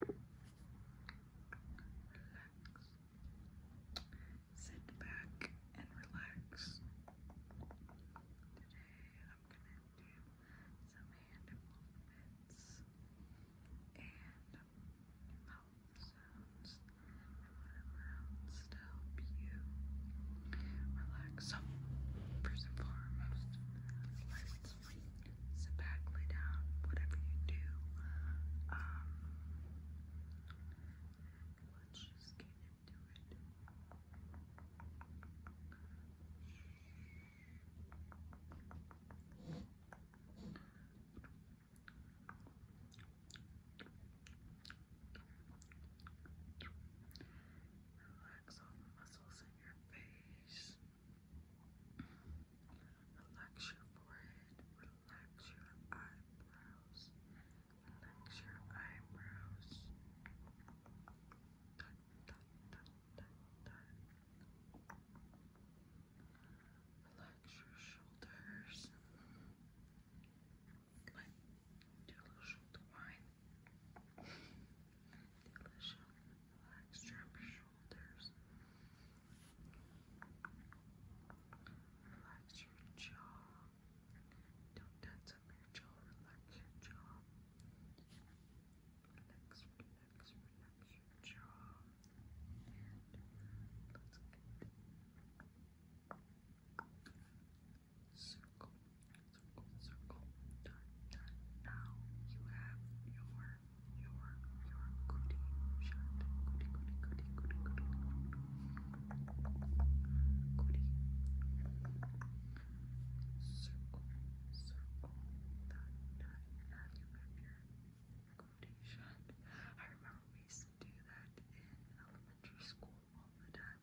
Sit back and relax. Today I'm gonna do some hand movements and mouth sounds and whatever else to help you relax. So first and foremost, let sit back, lay down, whatever you do. Um, let's just get into it. Relax all the muscles in your face. Relax your forehead, relax your eyebrows, relax your eyebrows. Dun, dun, dun, dun, dun. Relax your shoulders. Like, do a little shoulder wine. do a little Relax your shoulders. Relax your jaw. Don't tense up your jaw. Relax your jaw. Relax, relax, relax your jaw. And let's get Circle, circle, circle. Done, done. Now you have your your your goody shot. Goody, goody, goody, goody, goody, goody. Circle, circle. That, that. Now you have your goody shot. I remember we used to do that in elementary school all the time.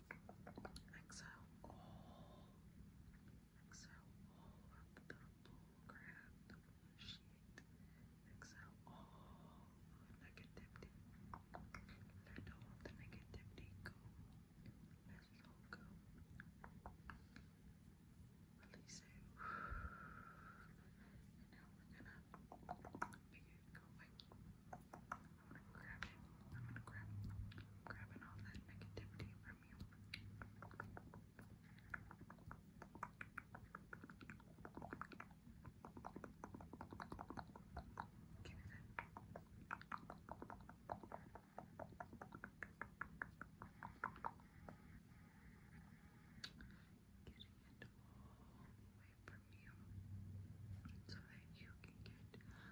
Exhale all. Exhale all the bullcrap that we initiate. Exhale all of negativity. Let all of the negativity go. Let it go. Release now we're gonna begin going. I'm gonna grab it. I'm gonna grab grabbing all that negativity from you. Getting it all away from you so that you can get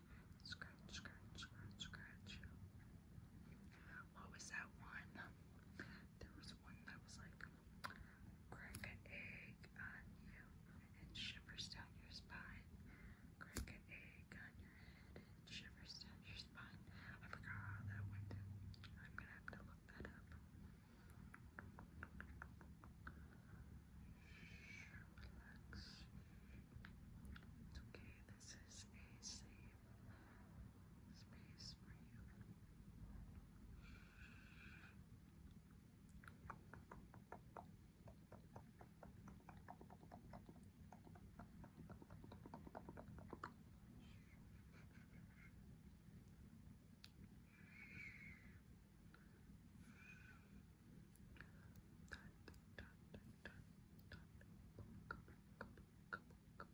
Scratch, scratch, scratch, scratch. What was that one? There was one that was like, crack an egg on you and shivers down your spine. Crack an egg on your head and shivers down your spine. I forgot how that went. I'm gonna have to look that up. Relax. It's okay, this is a safe space for you. I am ready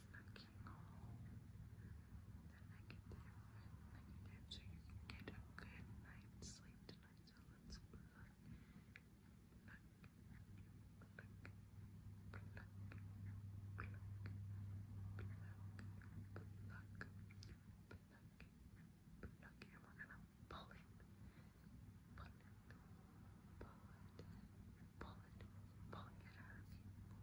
is looking all the negative, negative, so you can get a good night's sleep tonight. So let's look, look, look, look, look, look, look, look. Pluck and we're gonna pull it, pull it, pull it, pull it, pull it, pull it out of you,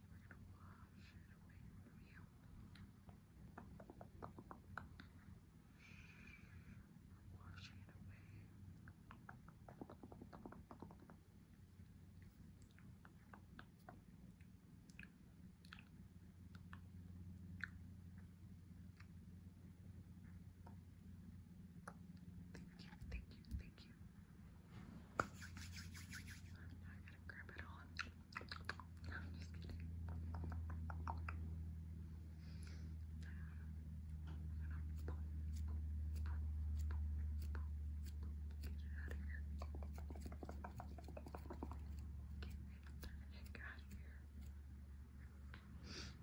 we're gonna wash it away from you. We're washing it away. Thank you, thank you, thank you. Now I gotta grab it on. No, I'm just kidding. Get it out of here. Get the heck out of here.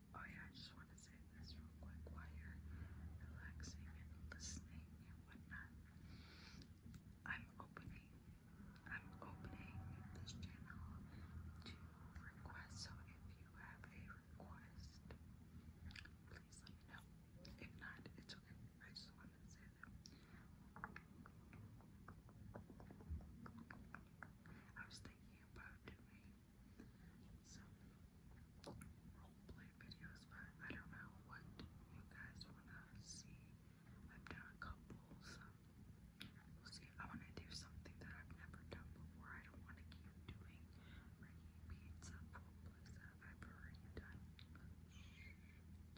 Oh yeah, I just want to say this real quick while you're relaxing and listening and whatnot. I'm opening, I'm opening this channel to request. So if you have a request, please let me know. If not, it's okay. I just wanted to say that. I was thinking about doing some roleplay videos, but I don't know what you guys wanna see. I've done a we'll see. I wanna do something that I've never done before. I don't wanna keep doing repeats of roleplays that I've already done. Shh, it's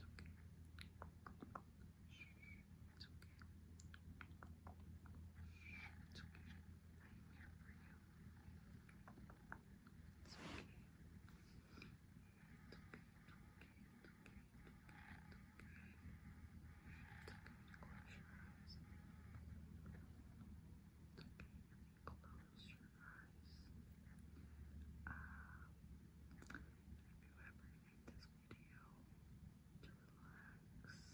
okay. it's okay. it's okay i you. It's okay. It's okay, it's okay, it's okay, it's okay. It's okay close your eyes. It's okay close your eyes. Uh, if you ever hate this video, to relax,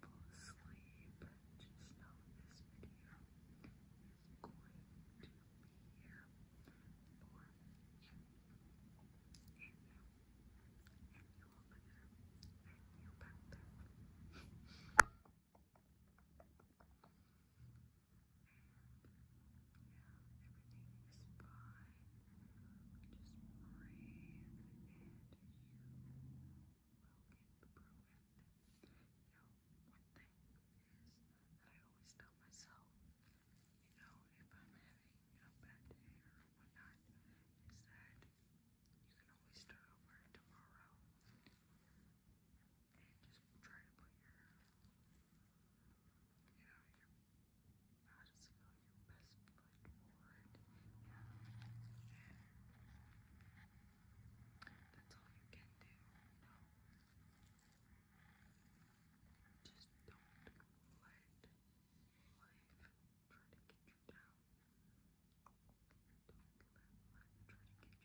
fall asleep, just know this video is going to be here for you. And you. And you And you And you. Breathe you. Breathe you. Breathe you. Breathe you. Breathe into you. Breathe Breathe into you will You know, one thing is that I always tell myself, you know, if I'm having a bad day or whatnot, is that you can always start over tomorrow and just try to put your, you know, your, how does your best put that's all you can do, Just don't let life try to get you down. Don't let life try to get you down because why, why you? You know?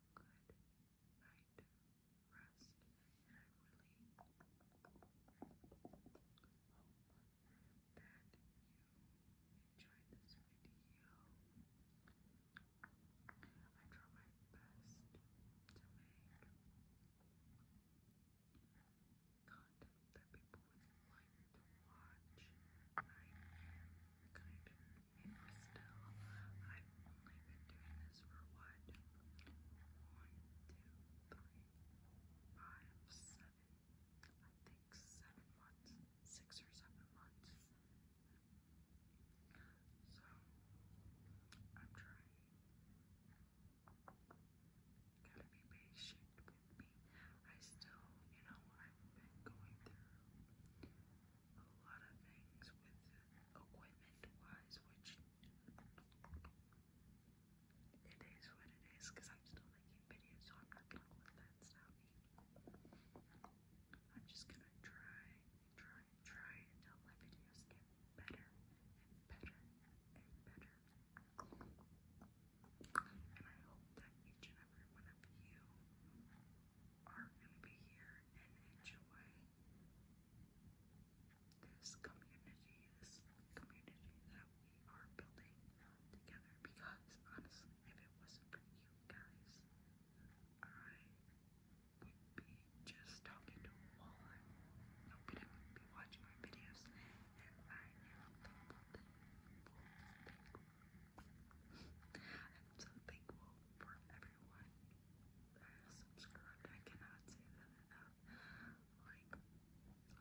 good night rest, and I really hope that you enjoyed this video. I try my best to make content that people would like to watch. I'm kind of new still. I've only been doing this for what? One, two, three, five, seven. I think seven months, six or seven months. So I'm trying. Gotta be patient with me. I still, you know, I've been going through a lot of things with equipment wise, which it is what it is because I'm still making videos, so I'm not gonna let that stop me. I'm just gonna try try try until my videos get better and better and better. And I hope that each and every one of you are gonna be here and enjoy this community, this community that we are building together. Because honestly, if it wasn't for you guys, I would be just talking to a wall. Nobody would be watching my videos, and I am thankful, I'm thankful for everyone that uh, subscribed. I cannot say that enough. Like,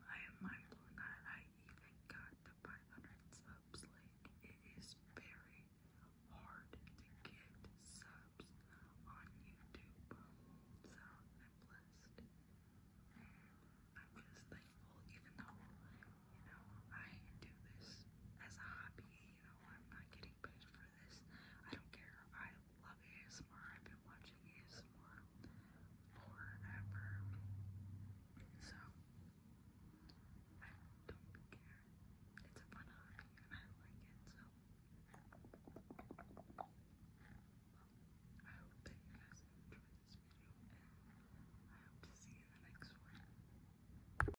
I am mindful that I even got to 500 subs. Like, it is very hard to get subs on YouTube. So, I'm blessed. I'm just thankful, even though, you know, I do this as a hobby you know, I'm not getting paid for this. I don't care. I love ASMR. I've been watching ASMR forever. So, I don't care. It's a fun hobby and I like it, so. Well, I hope that you guys enjoyed this video and I hope to see you in the next one.